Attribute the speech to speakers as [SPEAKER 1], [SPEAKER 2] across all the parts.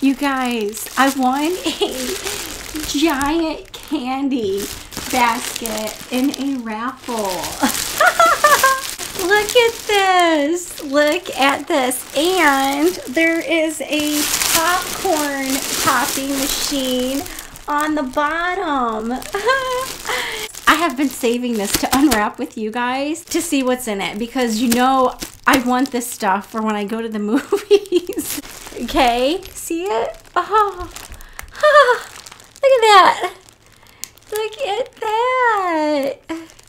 [SPEAKER 1] You guys, I won a giant candy basket in a raffle. Look at this. Look at this. And there is a popcorn popping machine on the bottom. I have been saving this to unwrap with you guys to see what's in it because you know I want this stuff for when I go to the movies. okay, see it? Oh, ah, look at that. Look at that.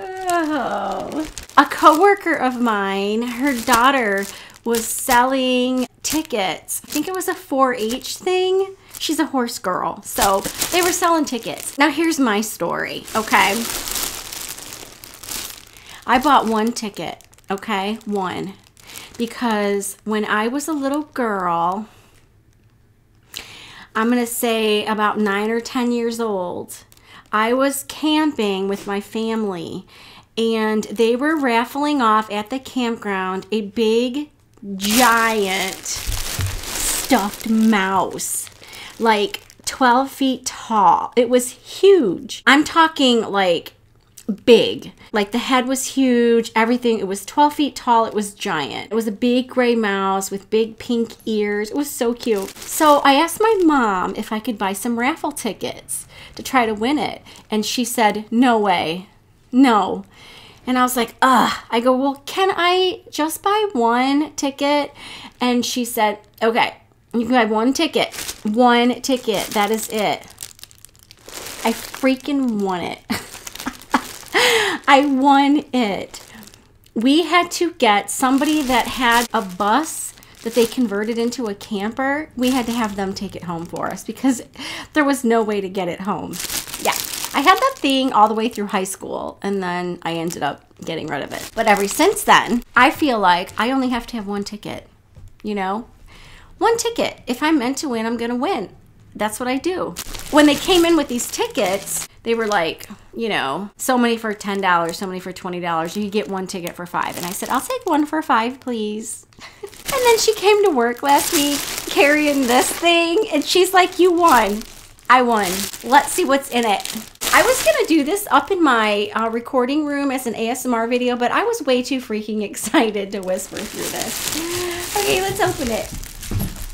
[SPEAKER 1] Oh. A coworker of mine, her daughter was selling tickets. I think it was a 4-H thing. She's a horse girl. So they were selling tickets. Now here's my story, okay? I bought one ticket, okay? One. Because when I was a little girl, I'm going to say about nine or 10 years old, I was camping with my family and they were raffling off at the campground a big, giant stuffed mouse. Like, 12 feet tall. It was huge. I'm talking like big. Like the head was huge, everything. It was 12 feet tall, it was giant. It was a big gray mouse with big pink ears. It was so cute. So I asked my mom if I could buy some raffle tickets to try to win it. And she said, No way, no. And I was like, Ugh. I go, Well, can I just buy one ticket? And she said, Okay. You can have one ticket. One ticket. That is it. I freaking won it. I won it. We had to get somebody that had a bus that they converted into a camper. We had to have them take it home for us because there was no way to get it home. Yeah. I had that thing all the way through high school and then I ended up getting rid of it. But ever since then, I feel like I only have to have one ticket, you know? One ticket. If I'm meant to win, I'm going to win. That's what I do. When they came in with these tickets, they were like, you know, so many for $10, so many for $20. You get one ticket for five. And I said, I'll take one for five, please. and then she came to work last week carrying this thing, and she's like, You won. I won. Let's see what's in it. I was going to do this up in my uh, recording room as an ASMR video, but I was way too freaking excited to whisper through this. Okay, let's open it.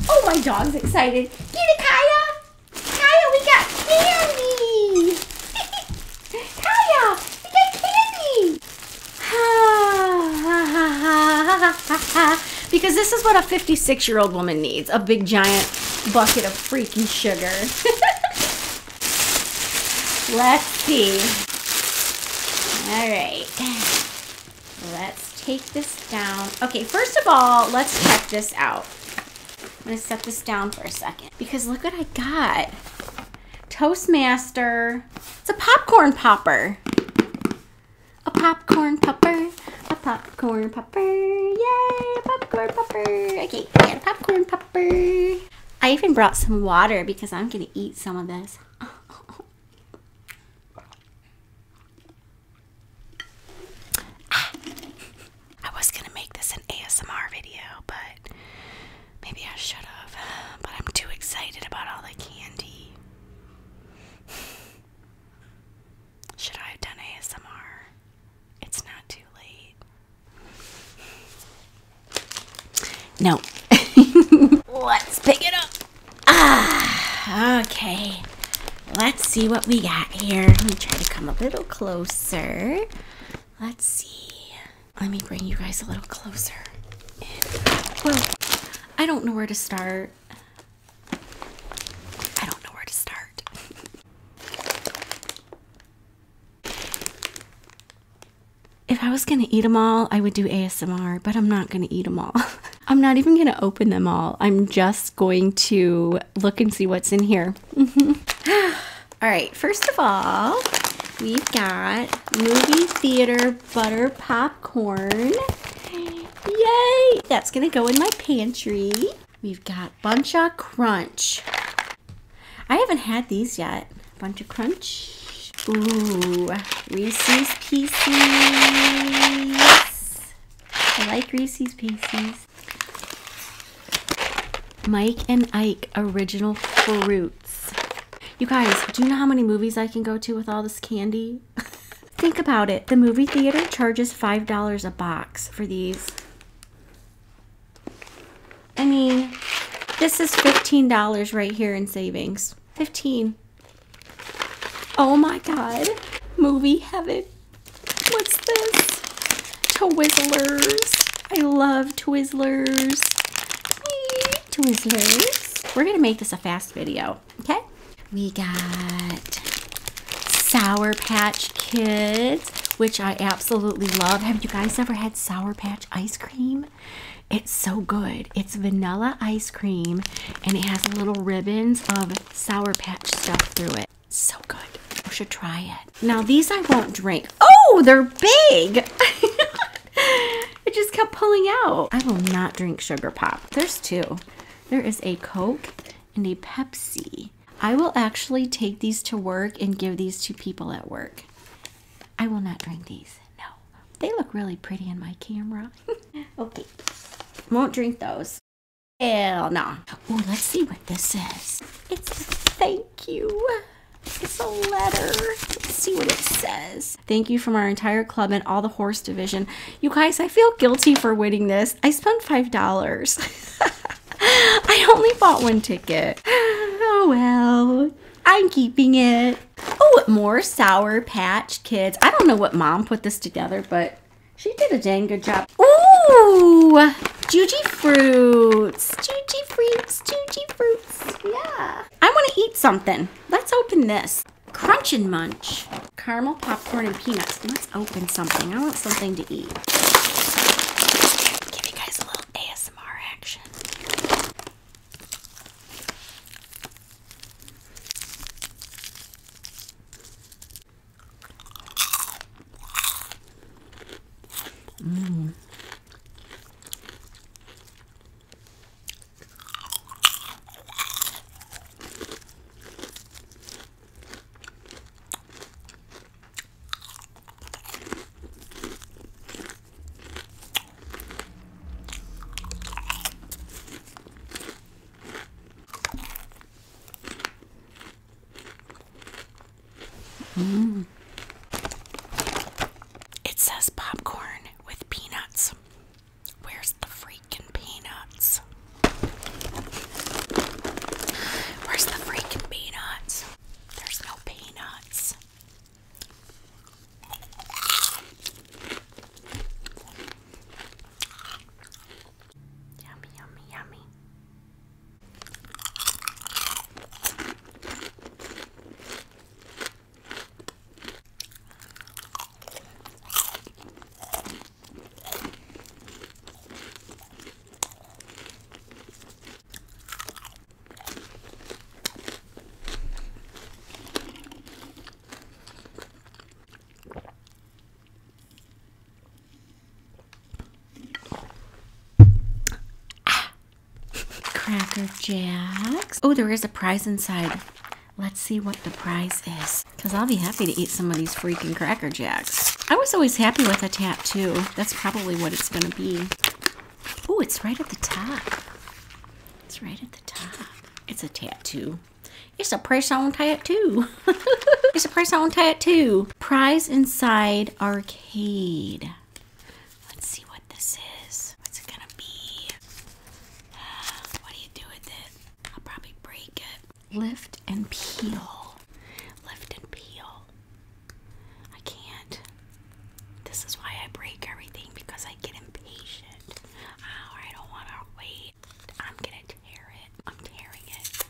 [SPEAKER 1] Oh, my dog's excited.
[SPEAKER 2] Kaya! Kaya, we got candy! Kaya, we got
[SPEAKER 1] candy! because this is what a 56-year-old woman needs, a big giant bucket of freaking sugar. Let's see. All right. Let's take this down. Okay, first of all, let's check this out. I'm going to set this down for a second because look what I got. Toastmaster. It's a popcorn popper. A popcorn popper. A popcorn popper. Yay, popcorn popper. Okay, popcorn popper. I even brought some water because I'm going to eat some of this. Ah.
[SPEAKER 2] I was going to make this an ASMR video, but maybe I should have. But I'm too excited about all the candy. Should I have done ASMR? It's not too late.
[SPEAKER 1] No. Let's pick it up. Ah, okay. Let's see what we got here. Let me try to come a little closer. Let's see. Let me bring you guys a little closer. Well, I don't know where to start. I don't know where to start. If I was gonna eat them all, I would do ASMR, but I'm not gonna eat them all. I'm not even gonna open them all. I'm just going to look and see what's in here. all right, first of all, we've got movie theater butter popcorn. Yay! That's gonna go in my pantry. We've got Buncha Crunch. I haven't had these yet. Buncha Crunch. Ooh, Reese's Pieces. I like Reese's Pieces. Mike and Ike Original Fruits. You guys, do you know how many movies I can go to with all this candy? Think about it. The movie theater charges $5 a box for these. I mean, this is $15 right here in savings. 15. Oh my god. Movie heaven. What's this? Twizzlers. I love Twizzlers. Twizzlers. We're gonna make this a fast video, okay? We got Sour Patch Kids, which I absolutely love. Have you guys ever had Sour Patch ice cream? It's so good. It's vanilla ice cream and it has little ribbons of Sour Patch stuff through it. So good. You should try it. Now, these I won't drink. Oh, they're big! it just kept pulling out. I will not drink Sugar Pop. There's two. There is a Coke and a Pepsi. I will actually take these to work and give these to people at work. I will not drink these. No. They look really pretty in my camera. okay. Won't drink those. Hell no. Oh, let's see what this is. It's a
[SPEAKER 2] thank you. It's a letter. Let's see
[SPEAKER 1] what it says. Thank you from our entire club and all the horse division. You guys, I feel guilty for winning this. I spent $5. I only bought one ticket. Oh well. I'm keeping it. Oh, more Sour Patch Kids. I don't know what mom put this together, but she did a dang good job. Ooh! Juji Fruits. Juji Fruits. Juji Fruits. Yeah. I want to eat something. Let's open this. Crunch and Munch. Caramel popcorn and peanuts. Let's open something. I want something to eat. Give you guys little ASMR action. Mm. Mm.
[SPEAKER 2] It says popcorn with peanuts. Where's the freaking peanuts? Where's the freaking peanuts? There's no peanuts. Yummy, yummy, yummy.
[SPEAKER 1] Cracker Jacks. Oh, there is a prize inside. Let's see what the prize is. Because I'll be happy to eat some of these freaking Cracker Jacks. I was always happy with a tattoo that's probably what it's going to be. Oh, it's right at the top. It's right at the top. It's a tattoo. It's a press on tattoo. it's a press on tattoo. Prize Inside Arcade. Let's see what this is. What's it gonna be?
[SPEAKER 2] what do you do with it? I'll probably break it. Lift and peel. Lift and peel. I can't. This is why I break everything because I get impatient. Oh, I don't want to wait. I'm gonna tear it. I'm tearing it.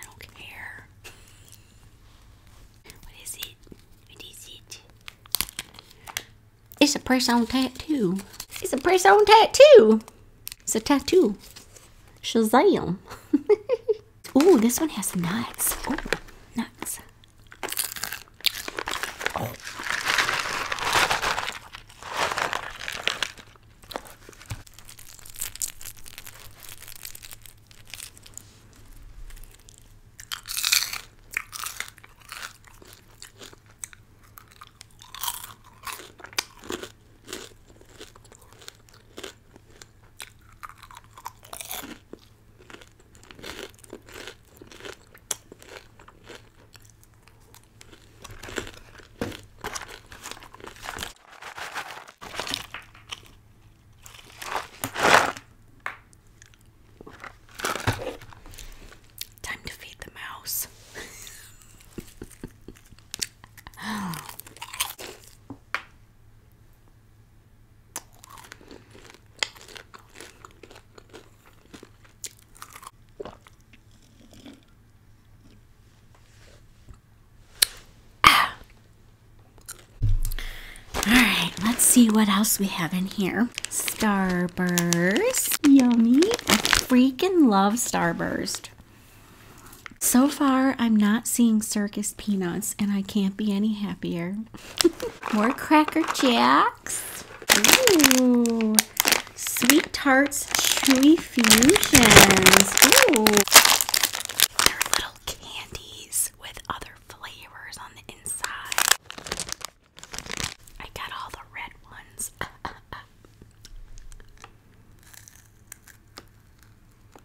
[SPEAKER 2] I don't care.
[SPEAKER 1] What is it? What is it? It's a press on tattoo. It's a press on tattoo. It's a tattoo. Shazam. Oh, this one has nuts. Oh, nuts.
[SPEAKER 2] Time to feed the mouse.
[SPEAKER 1] Ah. All right, let's see what else we have in here. Starburst. Yummy. I freaking love Starburst. So far, I'm not seeing circus peanuts, and I can't be any happier. More Cracker Jacks. Ooh. Sweet Tarts Chewy Fusions. Ooh. They're little candies with other flavors on the inside. I got all the red ones.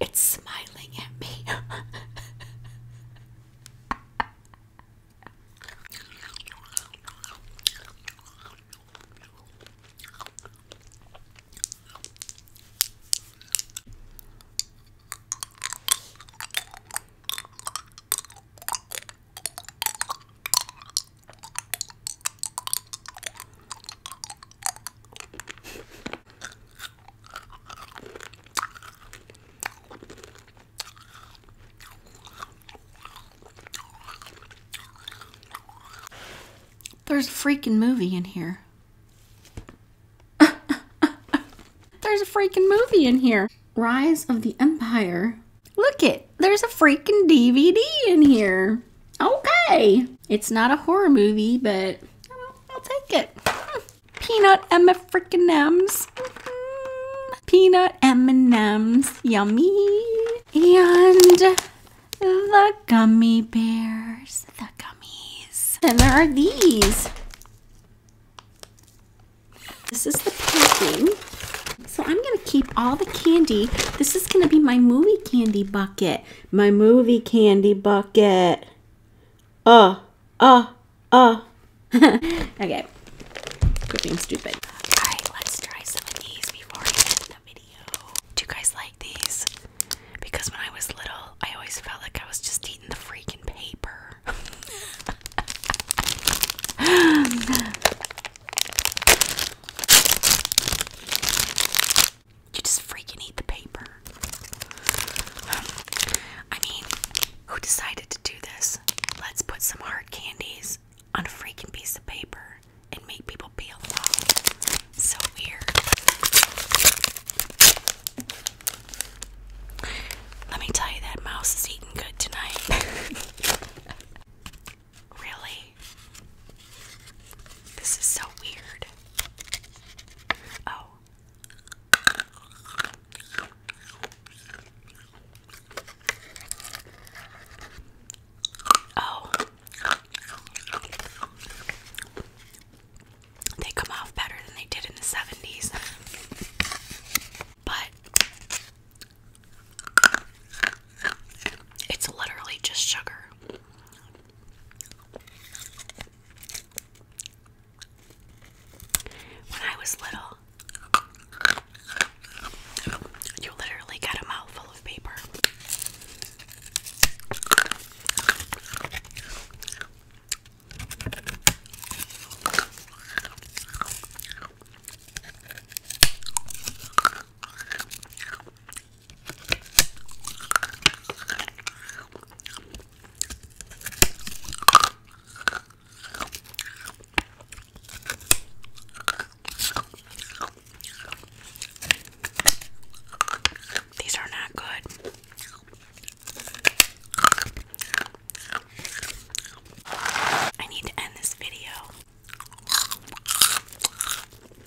[SPEAKER 2] It's smiling at me.
[SPEAKER 1] There's a freaking movie in here. there's a freaking movie in here. Rise of the Empire. Look it, there's a freaking DVD in here. Okay. It's not a horror movie, but I'll, take it. Peanut M freaking M's. Mm-hmm. Peanut M&M's, yummy. And the gummy bears, the gummies. And there are these. This is the packing. So I'm gonna keep all the candy. This is gonna be my movie candy bucket my movie candy bucket. Uh, uh, uh. okay. Good being stupid. Alright, let's try some of these before I end the video. Do you guys like these? Because when I was little, I always felt like I was just eating the freaking paper.
[SPEAKER 2] You just freaking eat the paper. I mean, who decided to do this? Let's put some hard candies on a freaking piece of paper and make people peel them off. So weird. Let me tell you, that mouse is eating good tonight. really? This is so weird. Oh. Oh. They come off better than they did in the 70s. but it's literally just sugar. When I was little, you literally got a mouthful of paper. These are not good. I need to end this video.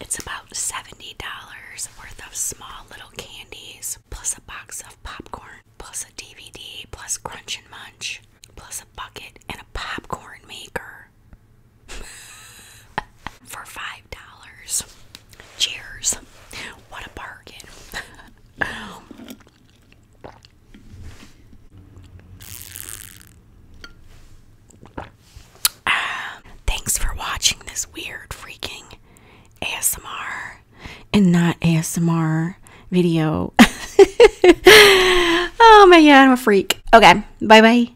[SPEAKER 2] It's about $70 worth of small little candies, plus a box of popcorn, plus a DVD, plus Crunch and Munch, plus a bucket and a popcorn maker. For $5. Cheers. What a bargain. Um, thanks for watching this weird freaking
[SPEAKER 1] ASMR and not ASMR video. oh my god, I'm a freak. Okay, bye bye.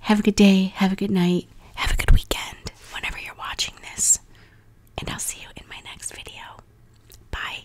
[SPEAKER 1] Have a good day, have a good night, have a good
[SPEAKER 2] weekend whenever you're watching this. And I'll see you in my next video. Bye.